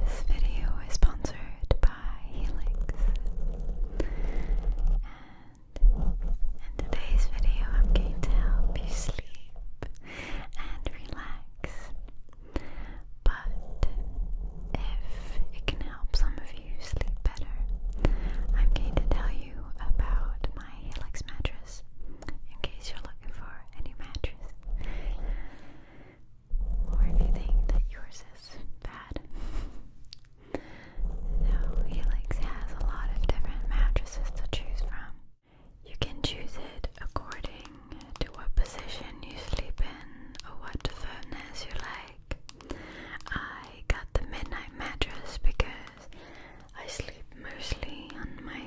This video is sponsored by Helix. And in today's video, I'm going to help you sleep and relax. But if it can help some of you sleep better, I'm going to tell you about my Helix mattress in case you're looking for any mattress. Or if you think that yours is bad. So, Helix has a lot of different mattresses to choose from. You can choose it according to what position you sleep in or what firmness you like. I got the midnight mattress because I sleep mostly on my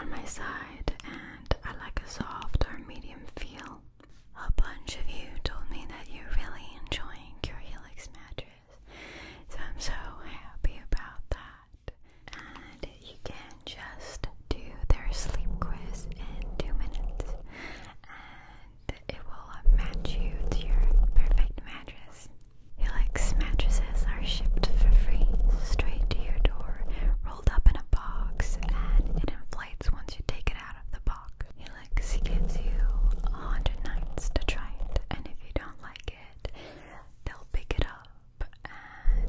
on my side and I like a soft or medium feel. A bunch of you told me that you're really enjoying your Helix mattress, so I'm so happy about that. And you can just do their sleep quiz in two minutes, and it will match you to your perfect mattress. Helix mattresses are shipped for free straight to your door, rolled up in a box, and it inflates once you take it out of the box. Helix gives you 100 nights to try it, and if you don't like it, they'll pick it up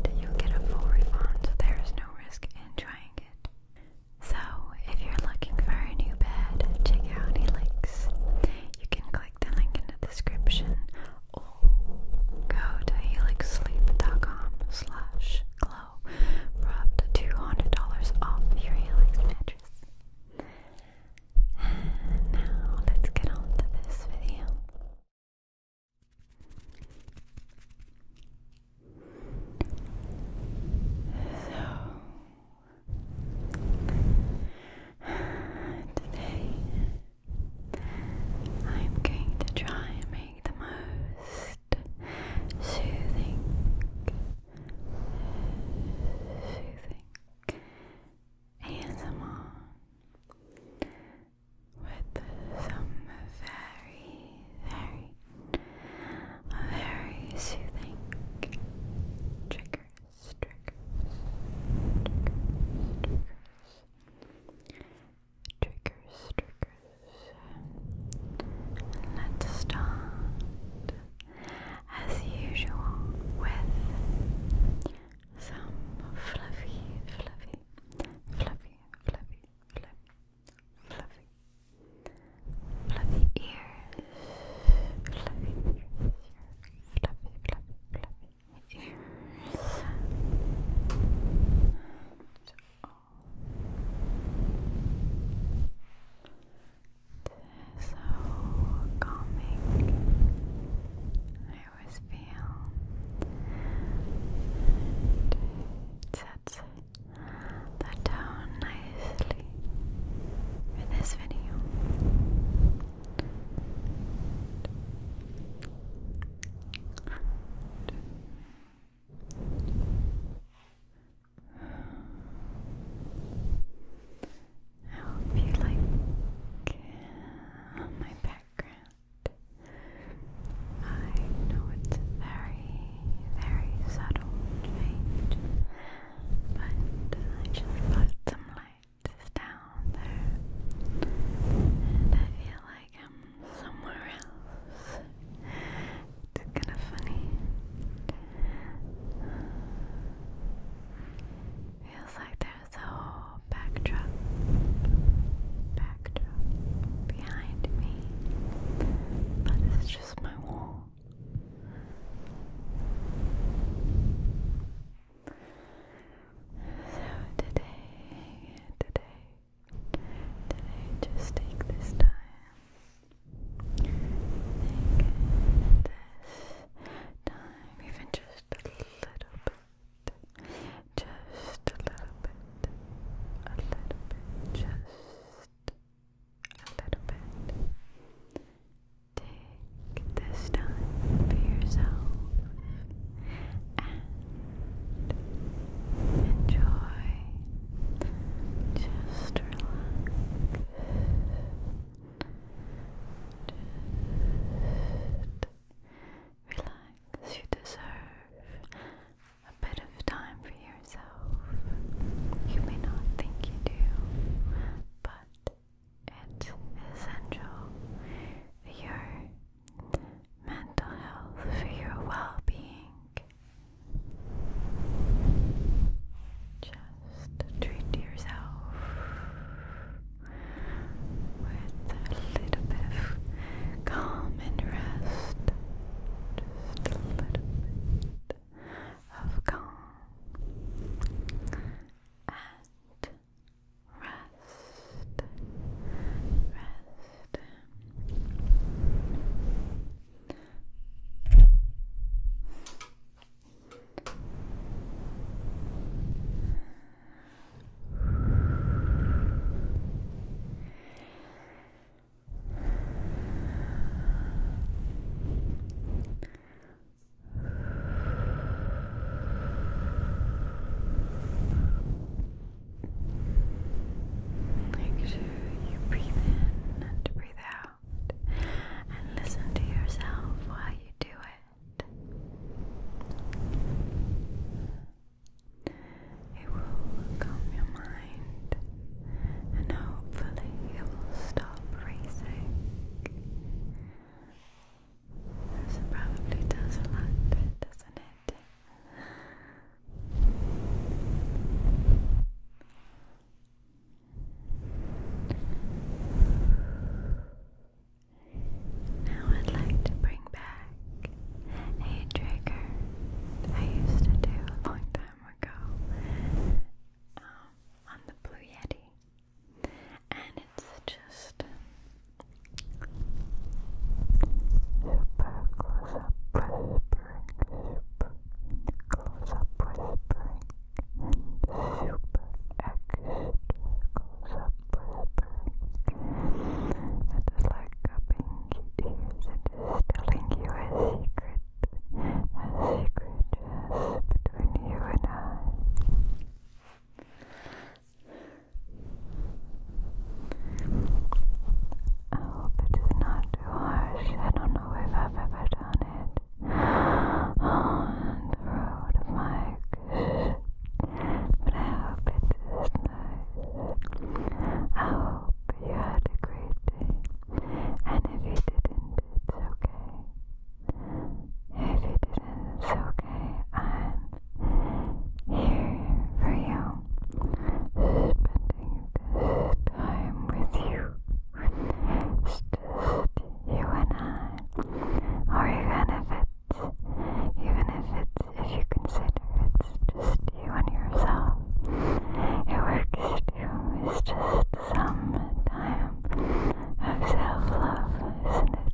and you'll get a full refund, so there's no risk in trying it. So, if you're looking for a new bed, check out Helix. You can click the link in the description or go to helixsleep.com slash glow for up to $200 off your Helix mattress. And now let's get on this video. So today I'm going to try and make the most soothing, soothing ASMR with some very, very, very soothing triggers, triggers, triggers. Triggers, triggers. Let's start as usual with some fluffy, fluffy, fluffy, fluffy, fluffy, fluffy, fluffy ears, fluffy ears, fluffy, fluffy, fluffy, ears and so calming. I always feel it sets that down nicely for this video. I hope you like my background. I know it's a very, very subtle change, but I just put some light is down there, and I feel like I'm somewhere else. It's kind of funny. Feels like there's a whole backdrop, backdrop behind me, but it's just my wall. So today, today, today, just take this time, take this time, even just a little bit, just a little bit, a little bit, just a little bit. Take this time for yourself and enjoy. Just relax. You deserve a bit of time for yourself. You may not think you do, but it's essential for your mental health, for your well being. Just treat yourself with a little bit of calm and rest. Just a little bit of calm and rest, rest. Relax. Make sure you breathe in and breathe out and listen to yourself while you do it. It will calm your mind and hopefully it will stop racing. This probably does a lot doesn't it? Now I'd like to bring back a trigger I used to do a long time ago um, on the Blue Yeti and it's just super close up whispering, super close up whispering, and super extra close up whispering. It is like cupping ears, it is telling you secret, a secret just between you and I. I hope it is not too harsh. I don't know if I've ever done it on the road mic, but I hope it is nice. I hope you had a great day, and if you didn't, it's okay. If you didn't, it's okay. i here for you, spending this time with you. just you and I, or even if it's, even if it's, if you consider it's just you and yourself, it works you. It's just some time of self-love, isn't it?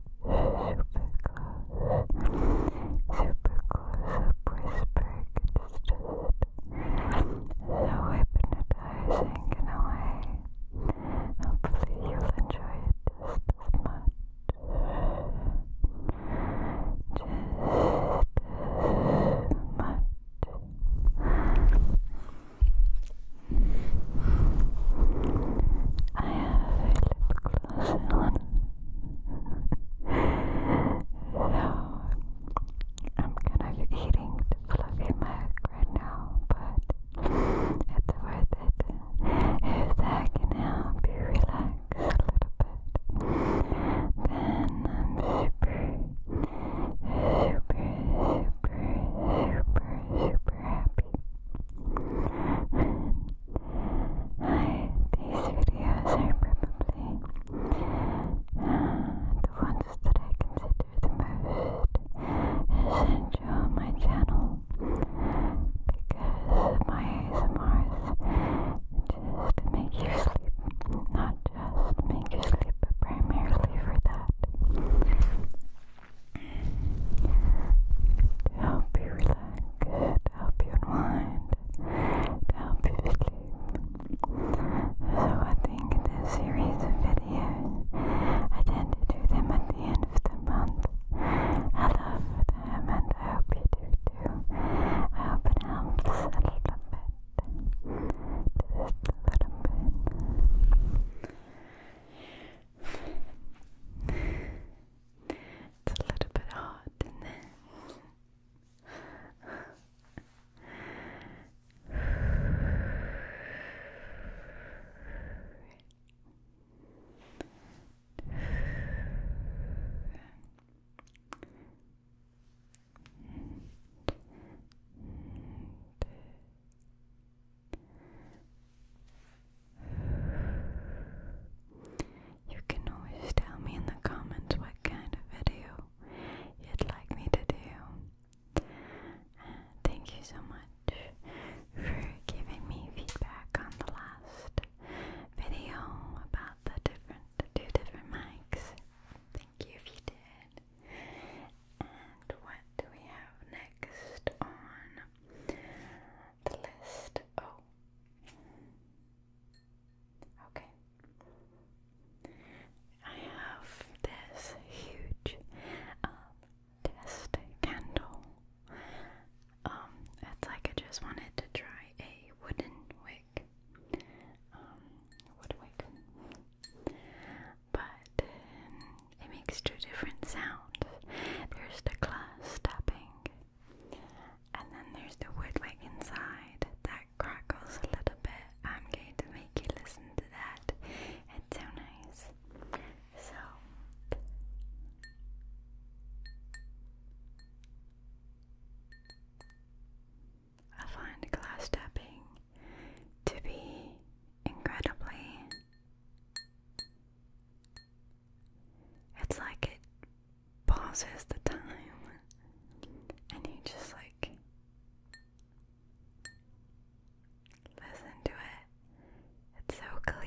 so hypnotizing in a Hopefully, you'll enjoy it just as much. Just as much. I have a lip gloss I'm gonna be eating the fluffy mac right now, but it's worth it if that can help you relax a little bit. Then I'm super, super, super, super, super happy. Hi, these videos are probably the ones that I consider the most essential on my channel because my ASMRs just make you sleep, not just make you sleep, but primarily for that to help you relax, to help you unwind, to help you sleep. So I think this series of videos, I tend to do them at the end of the month. I love them and I hope you do too. I hope it helps a little bit. Just a little bit. It's a little bit hot, isn't you can always tell me in the comments what kind of video you'd like me to do. thank you so much for giving me feedback on the last video about the different two different mics. Thank you if you did. And what do we have next on the list. Oh. Okay. I have this huge um, test candle. Um, it's like I just wanted to try a wooden wick. Um, wood wick. But it makes two different sounds. There's the glass tapping and then there's the woodwick inside that crackles a little bit. I'm going to make you listen to that. It's so nice. So. I find glass tapping to be incredibly it's like it pauses the time and you just like listen to it. It's so clear.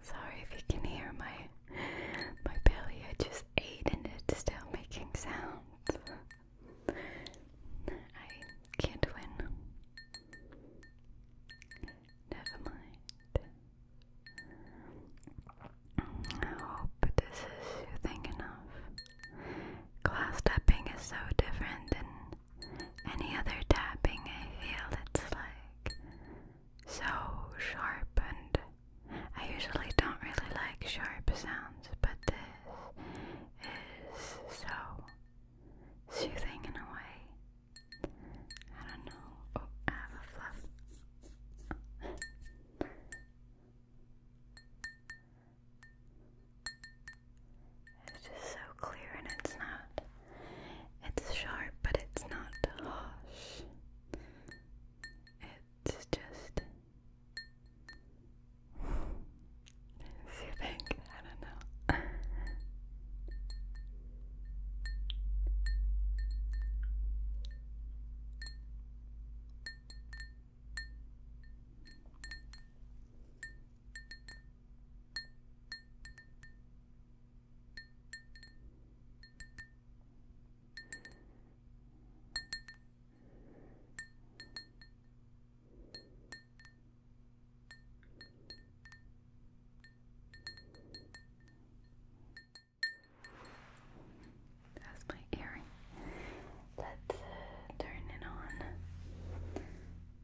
Sorry if you can hear my my belly. I just ate and it's still making sounds. I can't win. Never mind. I hope this is enough. Glass tapping is so different than any other tapping I feel it's like so sharp and I usually don't really like sharp sounds, but this is so soothing in a way. I don't know. Oh, have a fluff. It's just so clear and it's not. It's sharp, but it's not harsh. It's just. so you think? I don't know. That's my earring. Let's uh, turn it on.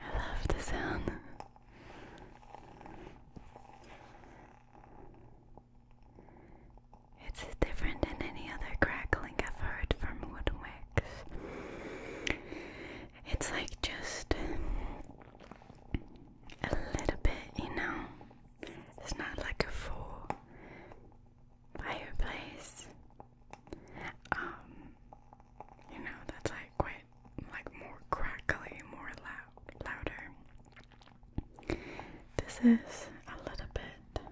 I love the sound. It's different than any other crackling I've heard from wood wicks. It's like just a little bit, you know. It's not like a full fireplace. Um, you know, that's like quite like more crackly, more loud, louder. This is a little bit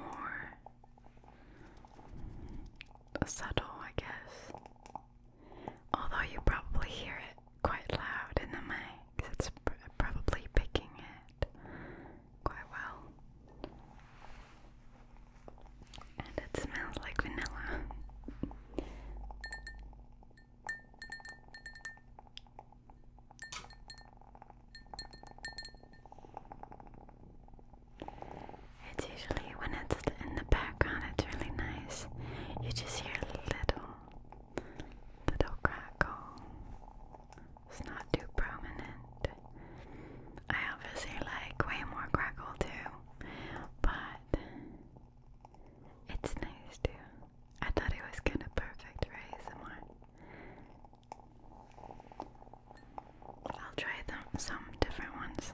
more subtle, I guess. Although you probably hear it quite loud in the mics, it's probably picking it quite well. And it smells like vanilla. It's usually when it's in the background, it's really nice. You just hear little, little crackle it's not too prominent. I obviously like way more crackle too, but it's nice too. I thought it was kind of perfect for ASMR. I'll try them, some different ones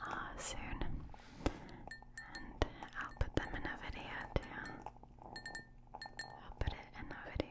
uh, soon, and I'll put them in a video too. I'll put it in a video.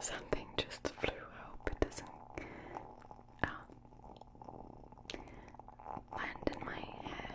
Something just flew. I it doesn't um, land in my hair.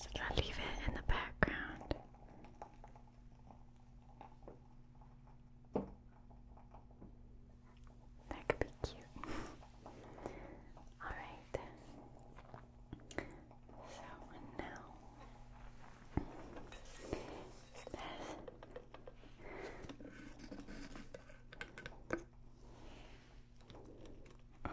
So I'll leave it in the background that could be cute. Alright. So, now Oh.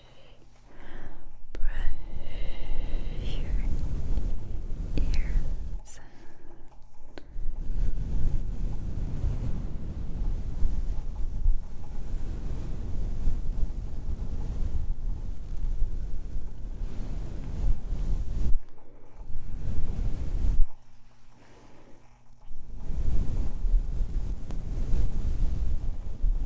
brush your ears.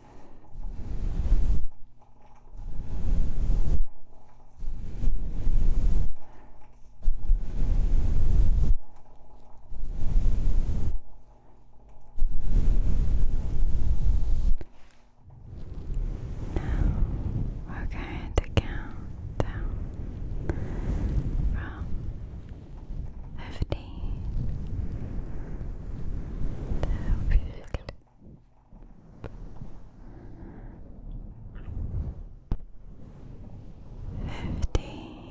Now we're going to count down from fifteen fifteen fourteen fourteen thirteen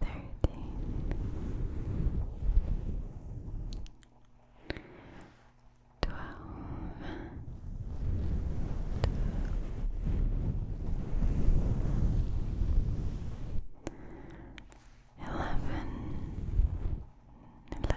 thirteen, twelve, eleven, eleven. Ten,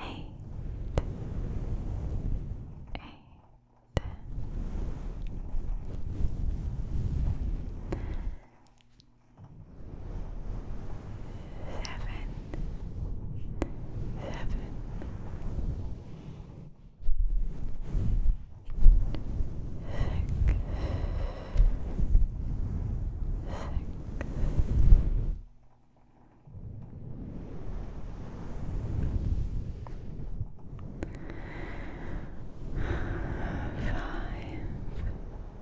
eight, eight, seven, seven. Six, six, Five, five. Four, four,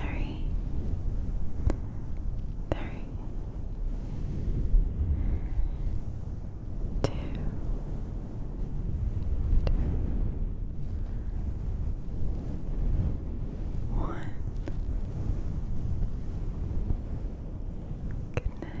three, three, two, two, one. Good night.